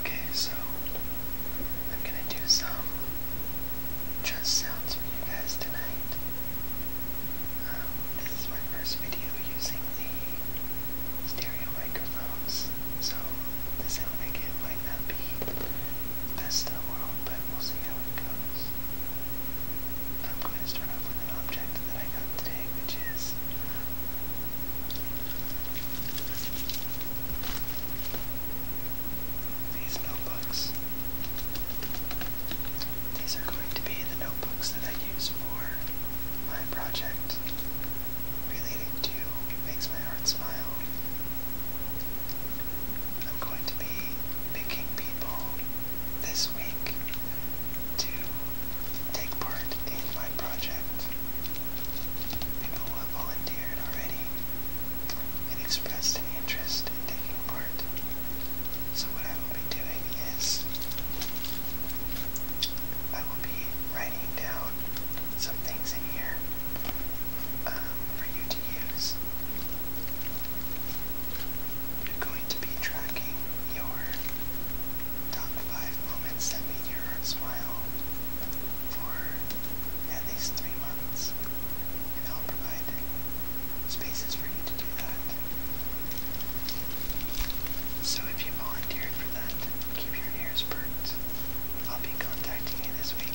Okay, so I'm gonna do some just sounds for you guys tonight. Um, this is my first video using the stereo microphones, so the sound I get might not be the best I'm going to start off with an object that I got today, which is these notebooks. These are going to be the notebooks that I use for my project relating to Makes My Heart Smile. I'm going to be picking people this week to take part in my project. People have volunteered already and expressed an interest in taking part. So what I will be doing is I will be writing down some things in here. Um, for you to use. You're going to be tracking your top 5 moments that made your smile for at least 3 months. And I'll provide spaces for you to do that. So if you volunteered for that, keep your ears perked. I'll be contacting you this week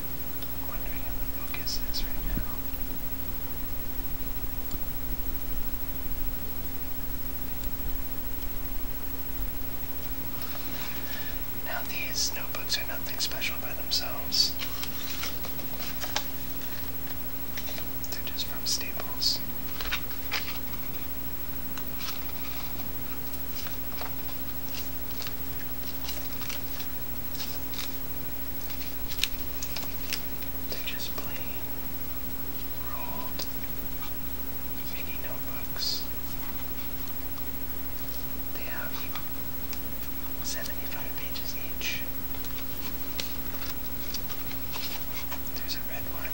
Now these notebooks are nothing special by themselves. They're just from Staples. They're just plain rolled mini notebooks. They have 75 pages each. There's a red one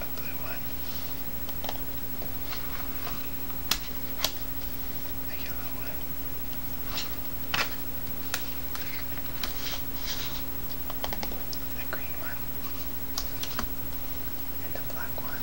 a blue one, a yellow one. A green one and a black one.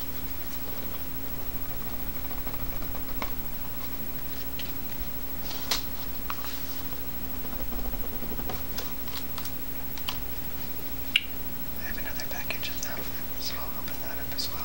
I have another package of them, so I'll open that up as well.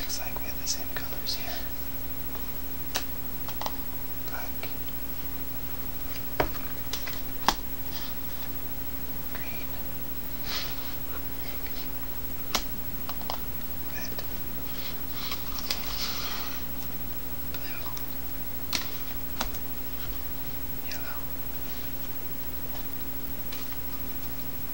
Looks like we have the same colors here. Black. Green. Red. Blue. Yellow.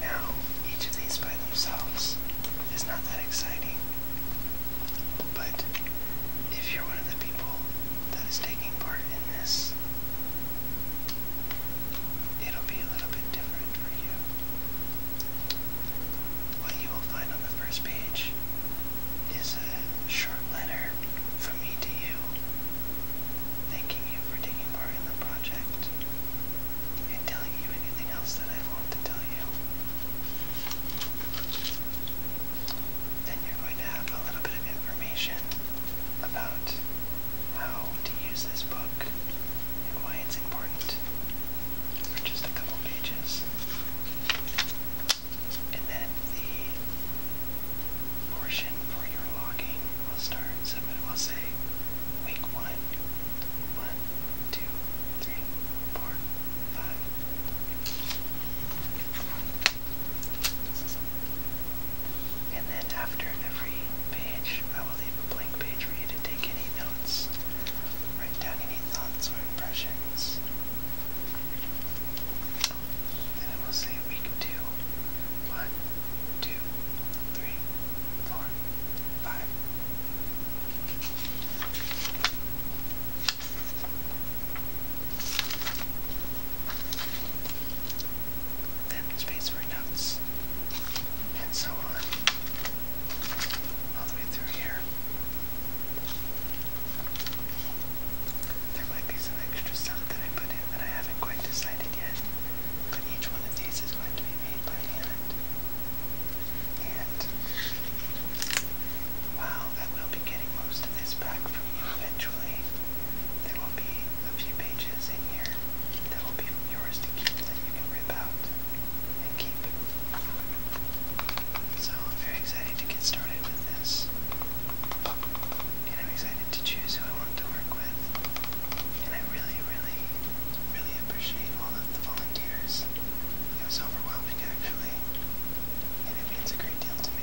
Now, each of these by themselves is not that exciting, but if you're one of the people that is taking part in this, it'll be a little bit different for you. What you will find on the first page is a short letter from me to you, thanking you for taking part in the project and telling you anything else that I want to tell you. Then you're going to have a little bit of information about how to use this book and why it's important for just a couple pages. And then the portion for your logging will start. So it will say week one, one, two, three, four, five. And then after every page, I will leave a blank page for you to take any notes, write down any thoughts or impressions. Then I will say week two. One, two, then space for notes, and so on, all the way through here. There might be some extra stuff that I put in that I haven't quite decided yet, but each one of these is going to be made by hand. And Wow, I will be getting most of this back from you eventually. There will be a few pages in here that will be yours to keep that you can rip out and keep. So I'm very excited to get started with this. And I'm excited to choose who I want to work with. And I really, really, really appreciate all of the volunteers. It was overwhelming actually and it means a great deal to me.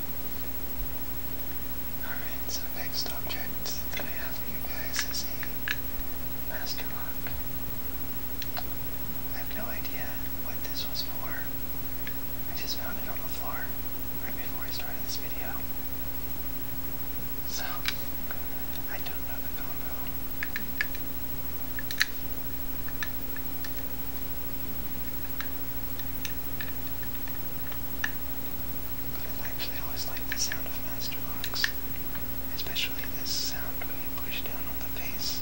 Alright, so next object that I have for you guys is a master lock. I have no idea what this was for. I just found it on the floor right before I started this video. So, I don't know the combo i actually always like the sound of master locks, especially this sound when you push down on the face.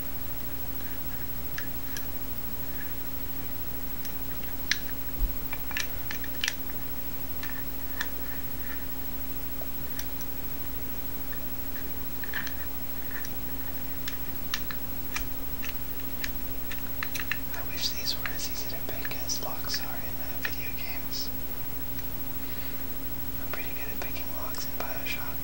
I wish these were as easy to pick as locks are in uh, video games. I'm pretty good at picking locks in Bioshock.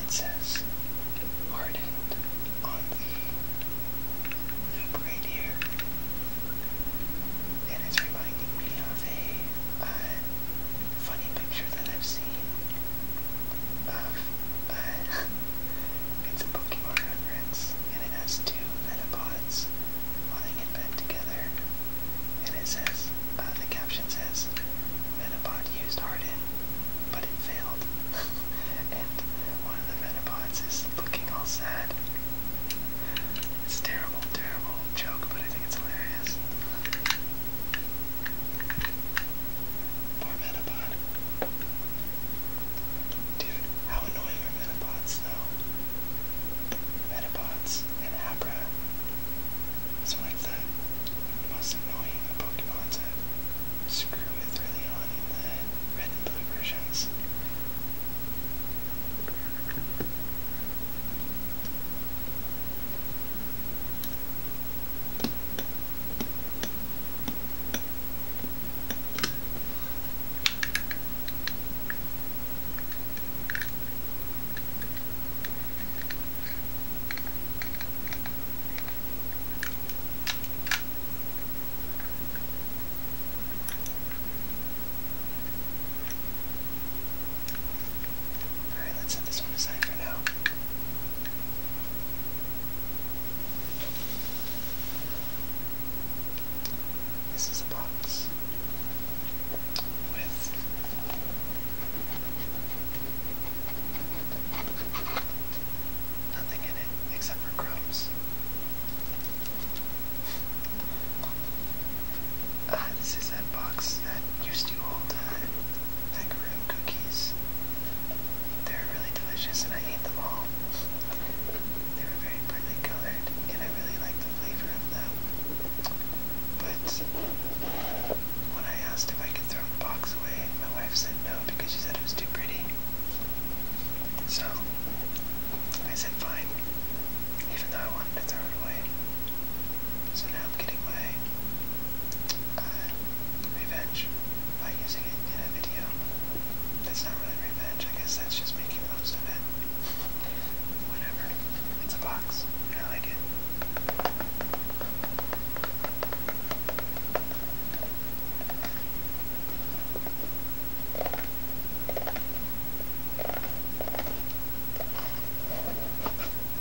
It says hardened on the loop right here, and it's reminding me of a uh, picture that I've seen of uh, it's a Pokemon reference, and it has two Metapods lying in bed together, and it says uh, the caption says Metapod used Harden, but it failed, and one of the Metapods is looking all sad. It's terrible, terrible joke, but I think it's hilarious. Poor Metapod. Dude, how annoying are Metapods though? Metapods and Abra. It's like the most annoying Pokemon to screw with early on the red and blue versions. Alright, let's set this one aside for now. This is a box with nothing in it except for crumbs. Ah, this is that box that used to hold uh, macaroon cookies. They're really delicious and I ate them all. They were very brightly colored and I really liked the flavor of them. But when I asked if I could throw the box away, my wife said no because she said it was too pretty. So I said fine, even though I wanted to throw it away. So now I'm getting my uh, revenge by using it in a video. That's not really revenge, I guess that's just making the most of it. Whatever. It's a box, I like it.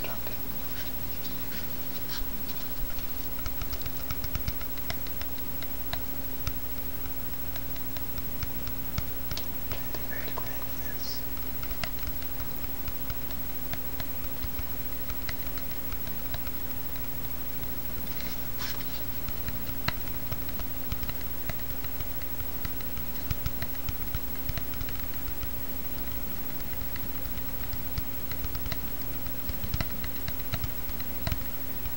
Dropped it. Played it very quick this.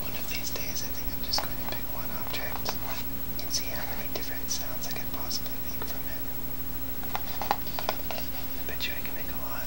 One of these days, I think I'm just going to pick one object and see how many different sounds I could possibly make from it. I bet you I can make a lot.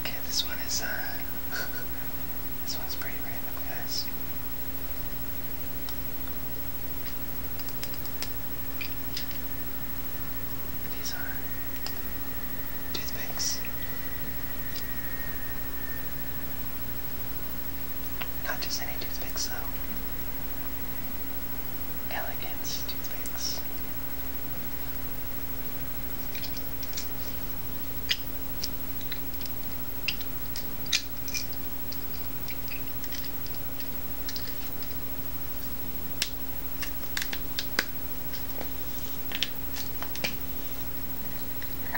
Okay, this one is, uh, this one's pretty random, guys. These are toothpicks. Not just any toothpicks though. Elegance toothpicks.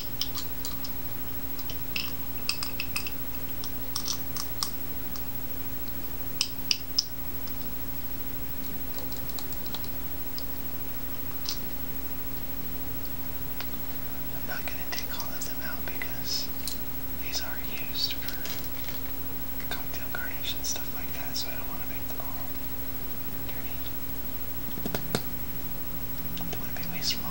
I'm not going to take all of them out because these are used for cocktail garnish and stuff like that, so I don't want to make them all dirty. I do be wasteful.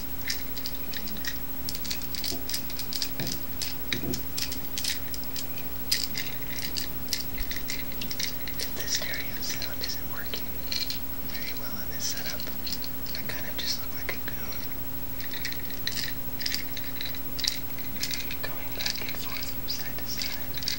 If the stereo sound isn't working very well in this setup, I kind of just look like a goon. Going back and forth from side to side.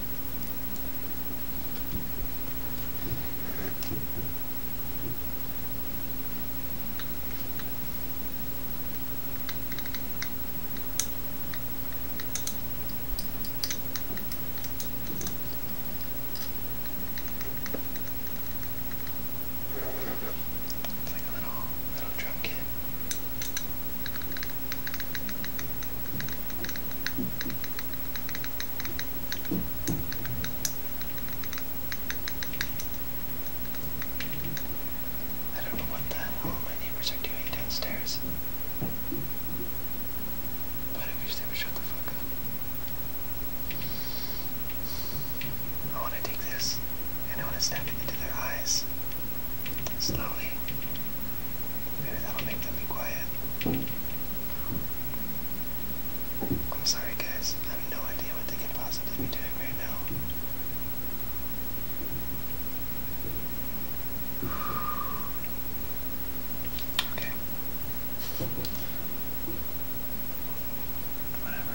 It's like a little little drum kit. I don't know what the hell my neighbors are doing downstairs. I wish they would shut the fuck up. I want to take this and I want to snap it into their eyes. Slowly. Maybe that'll make them be quiet. I'm sorry guys, I have no idea what they could possibly be doing right now. Okay. Whatever.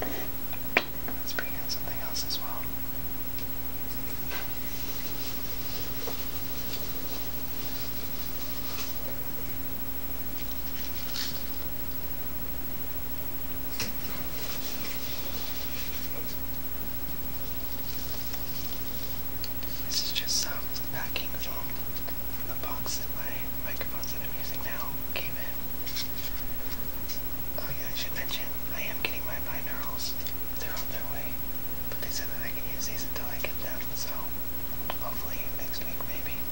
Let's bring in something else as well. This is just some packing foam from the box that my microphones that I'm using now came in. Oh yeah, I should mention, I am getting my binaurals. They're on their way. But they said that I can use these until I get them, so hopefully next week maybe.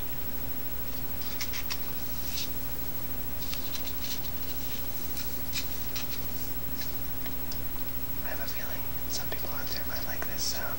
I have a feeling some people out there might like this sound.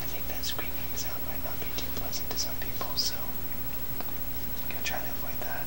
I think that screaming sound might not be too pleasant to some people, so I'm gonna try to avoid that.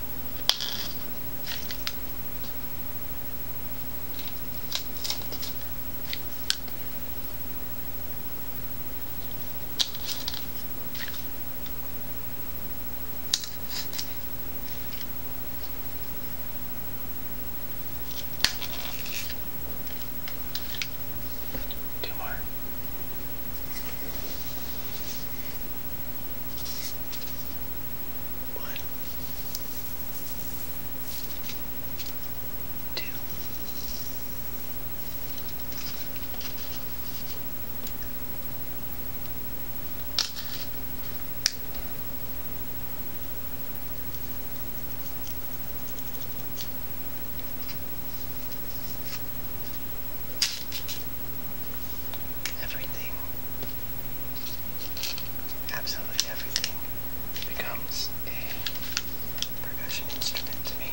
Two more. One, two, everything absolutely everything, becomes a percussion instrument to me.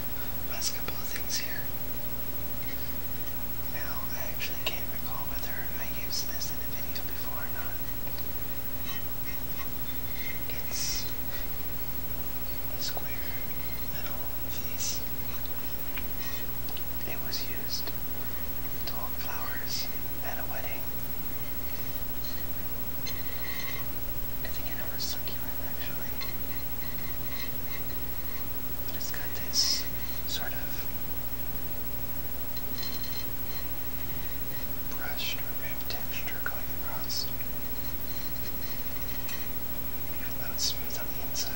last couple of things here. Now, I actually can't recall whether I used this in a video before or not. It's a square metal vase. It was used to hold flowers at a wedding. I think it was succulent actually but it's got this sort of brushed or ribbed texture going across, it's smooth on the inside.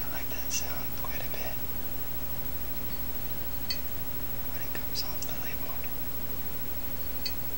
I like that sound quite a bit when it comes off the label.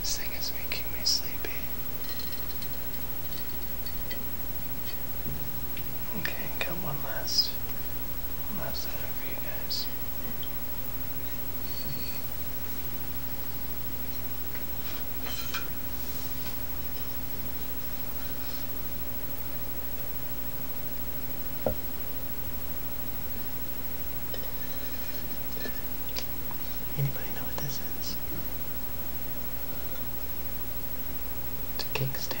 This thing is making me sleepy. Okay, got one last, last item for you guys. Anybody know what this is? It's a cake stand.